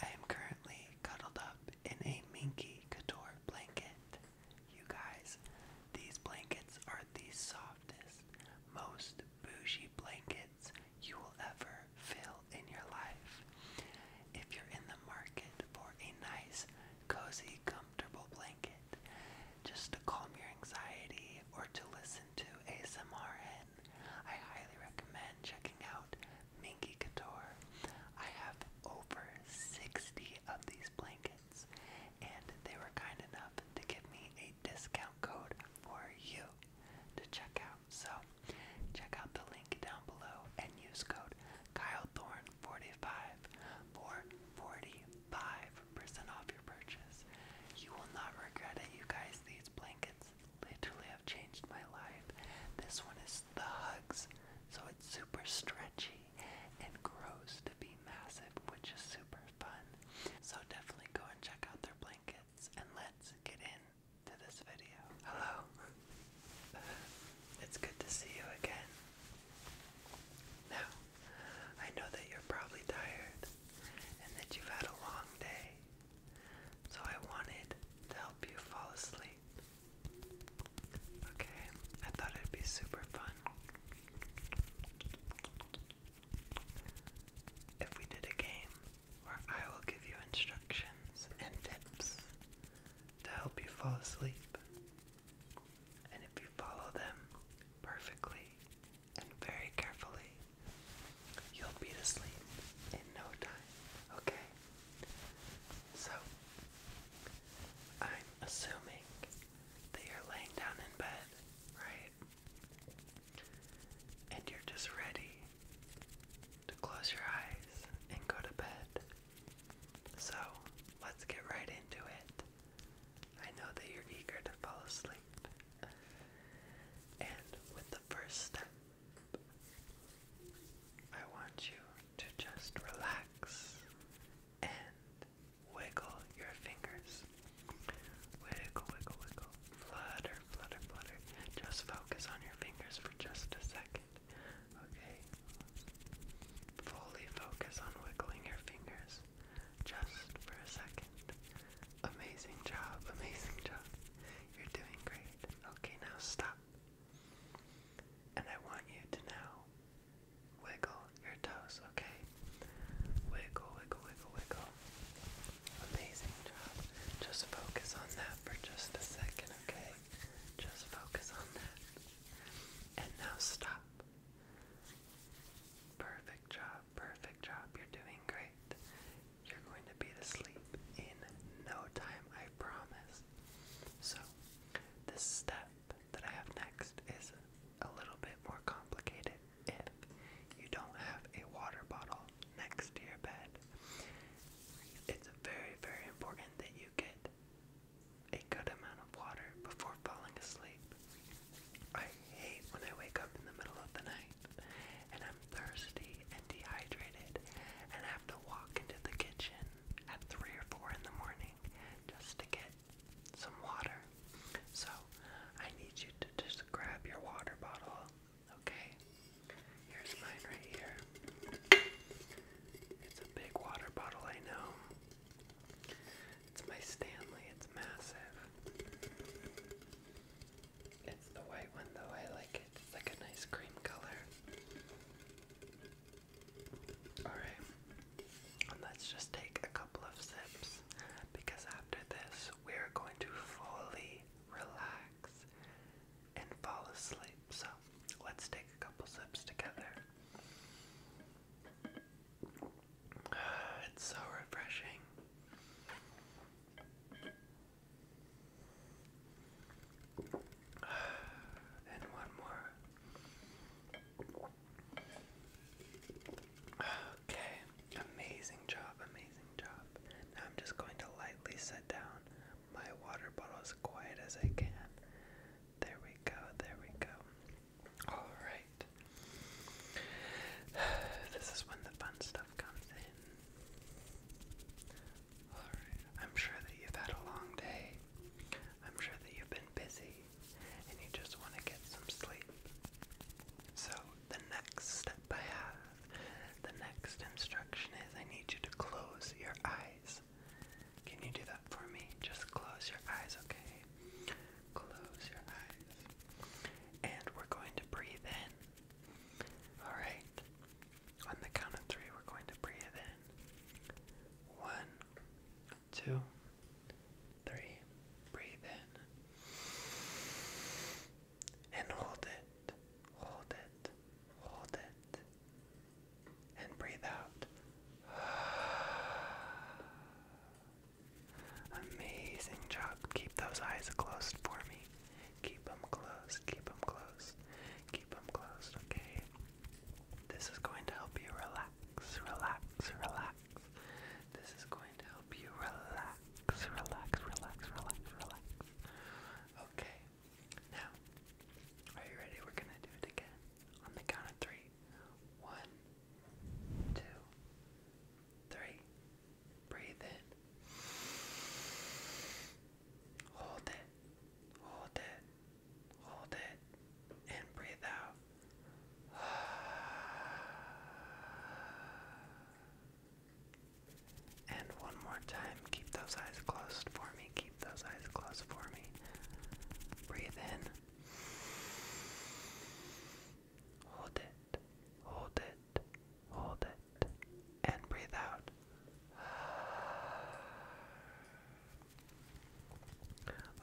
I am currently cuddled up in a Minky Couture blanket. You guys, these blankets are the softest, most bougie blankets you will ever feel in your life. If you're in the market for a nice, cozy, comfortable blanket, just to calm your anxiety or to listen to ASMR I highly recommend checking out Minky Couture. I have over 60 of these blankets, and they were kind enough to give me a discount code for you to check out. So, check out the link down below and use code KyleThorn45 for 45% off your purchase. You will not regret it, you guys. These blankets literally have changed my life. This one is the hugs, so it's super stretchy and grows to be massive, which is super fun. So definitely go and check out their blankets and let's get into this video. Hello. It's good to see you again. Now, I know that you're probably tired and that you've had a long day so I wanted to help you fall asleep. Okay, I thought it'd be super fun if we did a game where I will give you instructions and tips to help you fall asleep. And if you follow them perfectly and very carefully, You'll be asleep in no time, okay? So, I'm assuming that you're laying down in bed, right? And you're just ready to close your eyes and go to bed. So, let's get right into it. I know that you're eager to fall asleep. And with the first step I want you to just relax and wiggle your fingers. Wiggle, wiggle, wiggle. Flutter, flutter, flutter. Just focus on your fingers for just a second. Okay? Fully focus on wiggling your fingers just for a second. Amazing job, amazing job. You're doing great. Okay, now stop. And I want you to now wiggle your toes, okay? Wiggle, wiggle, wiggle, wiggle. Amazing job. Just focus on that for just a second, okay? Just focus on that. And now stop. Perfect job perfect job, you're doing great. You're going to be asleep in no time, I promise. So, this step that I have next is a little bit more complicated if you don't have a water bottle next to your bed. It's very, very important that you get a good amount of water before falling asleep. I hate when I wake up in the middle of the night and I'm thirsty and dehydrated, and I have to walk into the kitchen at 3 or 4 in the morning just to get some water. So, I need you to just grab your water bottle, okay? Here's mine right here. It's a big water bottle, I know. It's my Stanley, it's massive. It's the white one though, I like it. It's like a nice cream color. Alright, let's just take a couple of sips because after this, we're going to fully relax and fall asleep. So let's take a couple sips together. It's so refreshing. And one more. Okay, amazing job, amazing job. Now I'm just going to lightly set down my water bottle as quiet as I can. There we go, there we go. Alright, This is when the fun stuff comes in. I'm sure that you've had a long day. I'm sure that you've been busy and you just want to get some sleep. So, the next step I have, the next instruction is I need you to close your eyes. Can you do that for me? Just close your eyes, okay? Close your eyes. And we're going to breathe in. Alright. On the count of three, we're going to breathe in. One, two, three. Breathe in. And hold it. Hold it. Hold it. And breathe out. Amazing job. Keep those eyes closed for me. Keep them closed. Keep them closed. Keep them closed, okay? This is going to help you relax, relax, relax. This is going to help you relax, relax, relax, relax, relax. Okay. Now, are you ready? We're going to do it again on the count of three. One, two, three. Breathe in. Hold it. Hold it. Hold it. And breathe out. And one more time. Keep those eyes closed for me. Keep those eyes closed for me. Breathe in. Hold it hold it, hold it, and breathe out.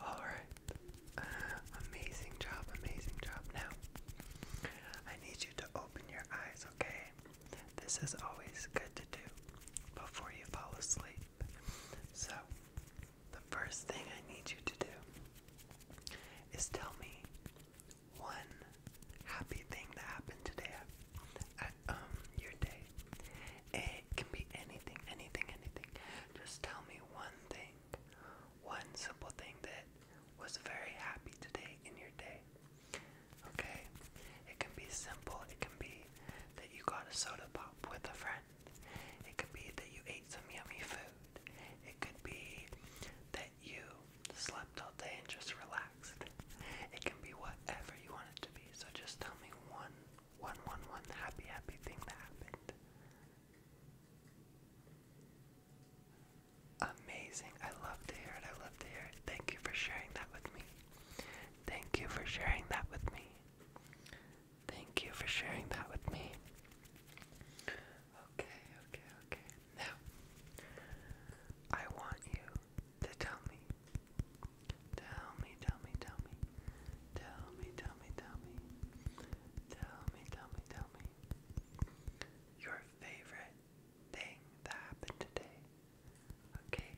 All right. Amazing job, amazing job. Now, I need you to open your eyes, okay? This is always good to do before you fall asleep. So, the first thing I need you to do is tell me one happy thing that happened today at, um your day. It can be anything, anything, anything. Just tell me one thing, one simple thing that was very happy today in your day. Okay? It can be simple. It can be that you got a soda pop with a friend. It could be that you ate some yummy food. It could be that you slept all day and just relaxed. It can be whatever you want it to be. So just tell me one, one, one, one happy, happy thing that happened. Amazing. I love to hear it. I love to hear it. Thank you for sharing that with me. Thank you for sharing that with me. Thank you for sharing that with me. Okay, okay, okay. Now, I want you to tell me. Tell me, tell me, tell me. Tell me, tell me, tell me. Tell me, tell me, Your favorite thing that happened today. Okay,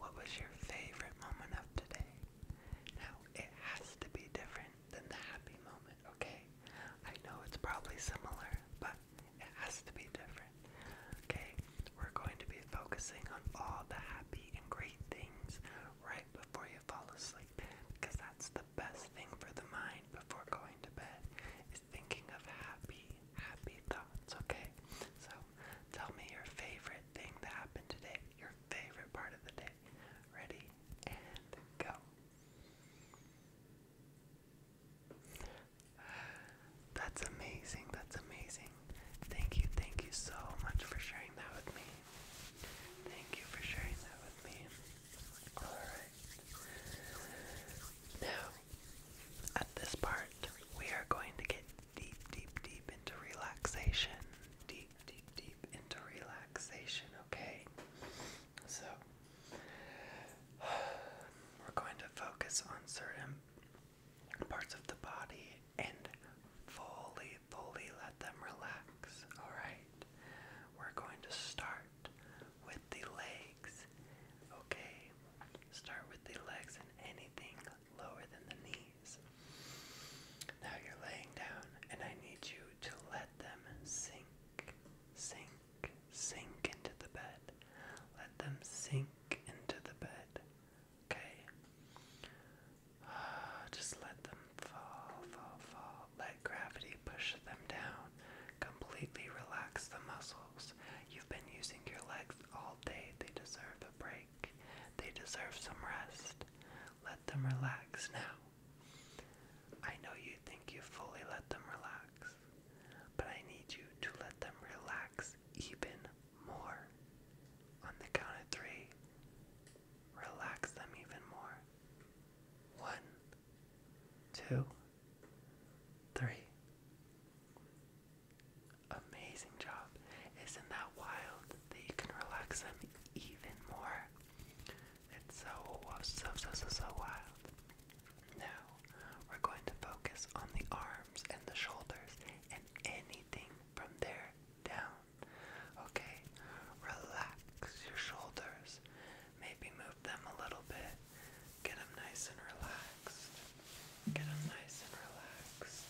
what was your favorite moment of today? Now, it has to be different than the happy moment, okay? I know it's probably similar, but it has to be different, okay? We're going to be focusing on all the happy and great things right before you fall asleep because that's the best thing for the mind before going to bed is thinking of happy, happy thoughts, okay? So tell me your favorite thing that happened today, your favorite part of the day ready and go. That's amazing. That's amazing. Thank you. Thank you so much for sharing that with me. Thank you for sharing that with me. Alright. Now, at this part, we are going to get deep, deep, deep into relaxation. Deep, deep, deep into relaxation, okay? So, we're going to focus on certain parts of the body and fully, fully let them relax, alright? We're going to start with the legs, okay? Start with the legs and anything lower than the knees. Now you're laying down, and I need you to let them sink, sink, sink into the bed. Let them sink into the bed. Okay? just let them fall, fall, fall. Let gravity push them down. Completely relax the muscles. You've been using your legs all day, they deserve a break. They deserve some rest. Let them relax now. I know you think you fully let them relax, but I need you to let them relax even more. On the count of three, relax them even more. One, two, three. Amazing job up. Isn't that wild that you can relax them even more? It's so, so, so, so, so wild. Now, we're going to focus on the arms and the shoulders and anything from there down. Okay? Relax your shoulders. Maybe move them a little bit. Get them nice and relaxed. Get them nice and relaxed.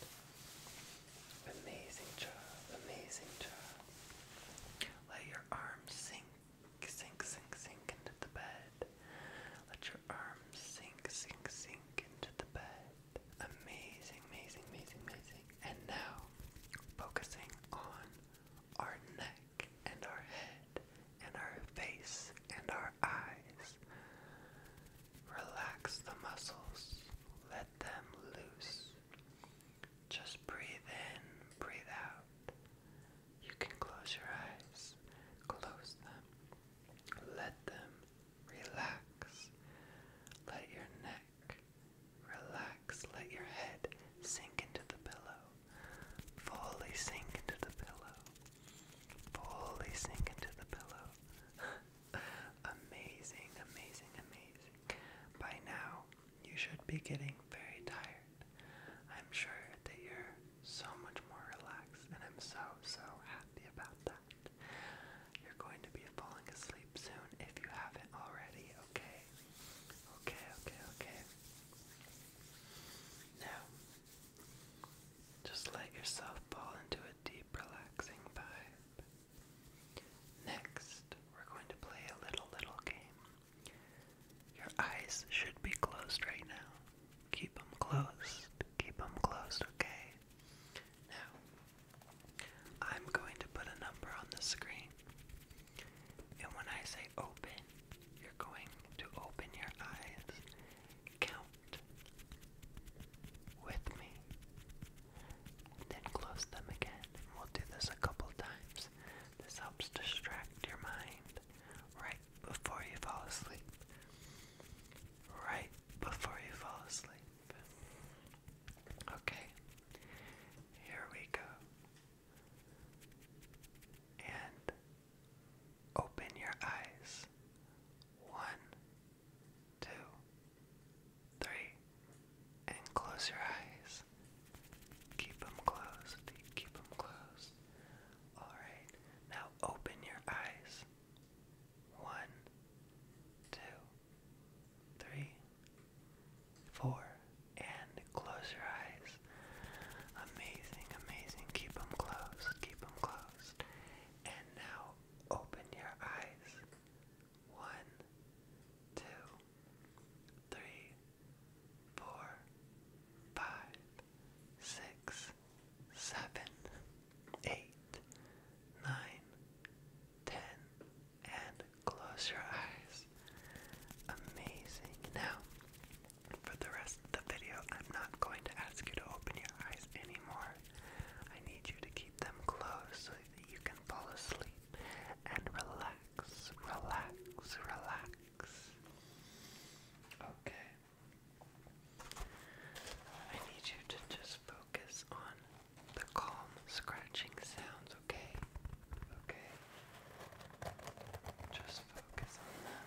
Amazing job, amazing job. Let your arms sink, sink, sink, sink into the bed. Let your arms sink, sink, sink into the bed. Amazing, amazing, amazing, amazing. And now, focusing on our neck and our head and our face and our eyes. Relax the muscles. Let let them loose. Just breathe in, breathe out. You can close your eyes, close them, let them relax. Let your neck relax, let your head sink into the pillow, fully sink into the pillow, fully sink into the pillow. Amazing, amazing, amazing. By now, you should be getting very tired. I'm sure that you're so much more relaxed, and I'm so, so happy about that. You're going to be falling asleep soon if you haven't already, okay? Okay, okay, okay. Now, just let yourself fall into a deep, relaxing vibe. Next, we're going to play a little, little game. Your eyes should be closed right now. Keep them closed. Keep them closed, okay? Now, I'm going to put a number on the screen. And when I say open, you're going to open your eyes count with me. And then close them again. we'll do this a couple times. This helps distract your mind right before you fall asleep. Right before you fall asleep. Okay, here we go. And open your eyes. One, two, three, and close your eyes. Keep them closed. Keep them closed. Alright, now open your eyes. One, two, three, four, and close your eyes. Amazing, amazing. Keep them closed. Keep them closed. And now open your eyes. One, two, three, four, five, six, seven, eight, nine, ten, and close your eyes. Amazing. Now, for the rest of the video, I'm not going to ask you to open your eyes anymore. I need you to keep them close so that you can fall asleep and relax, relax, relax. Okay. I need you to just focus on the calm scratching sounds, okay? Okay. Just focus on them.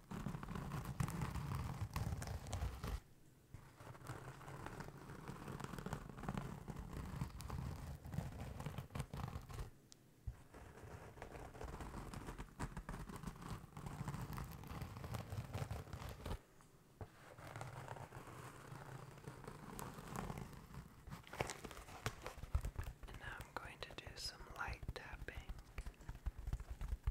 And now I'm going to do some light tapping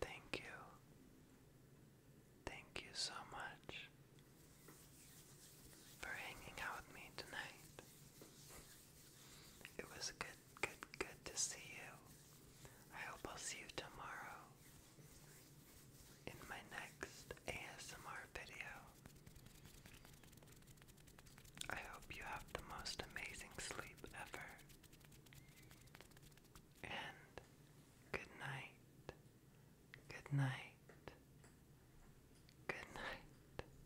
Thank you. Thank you so much for hanging out with me tonight. It was good, good, good to see you. I hope I'll see you tomorrow in my next ASMR video. I hope you have the most amazing sleep ever. And good night. Good night. Good night.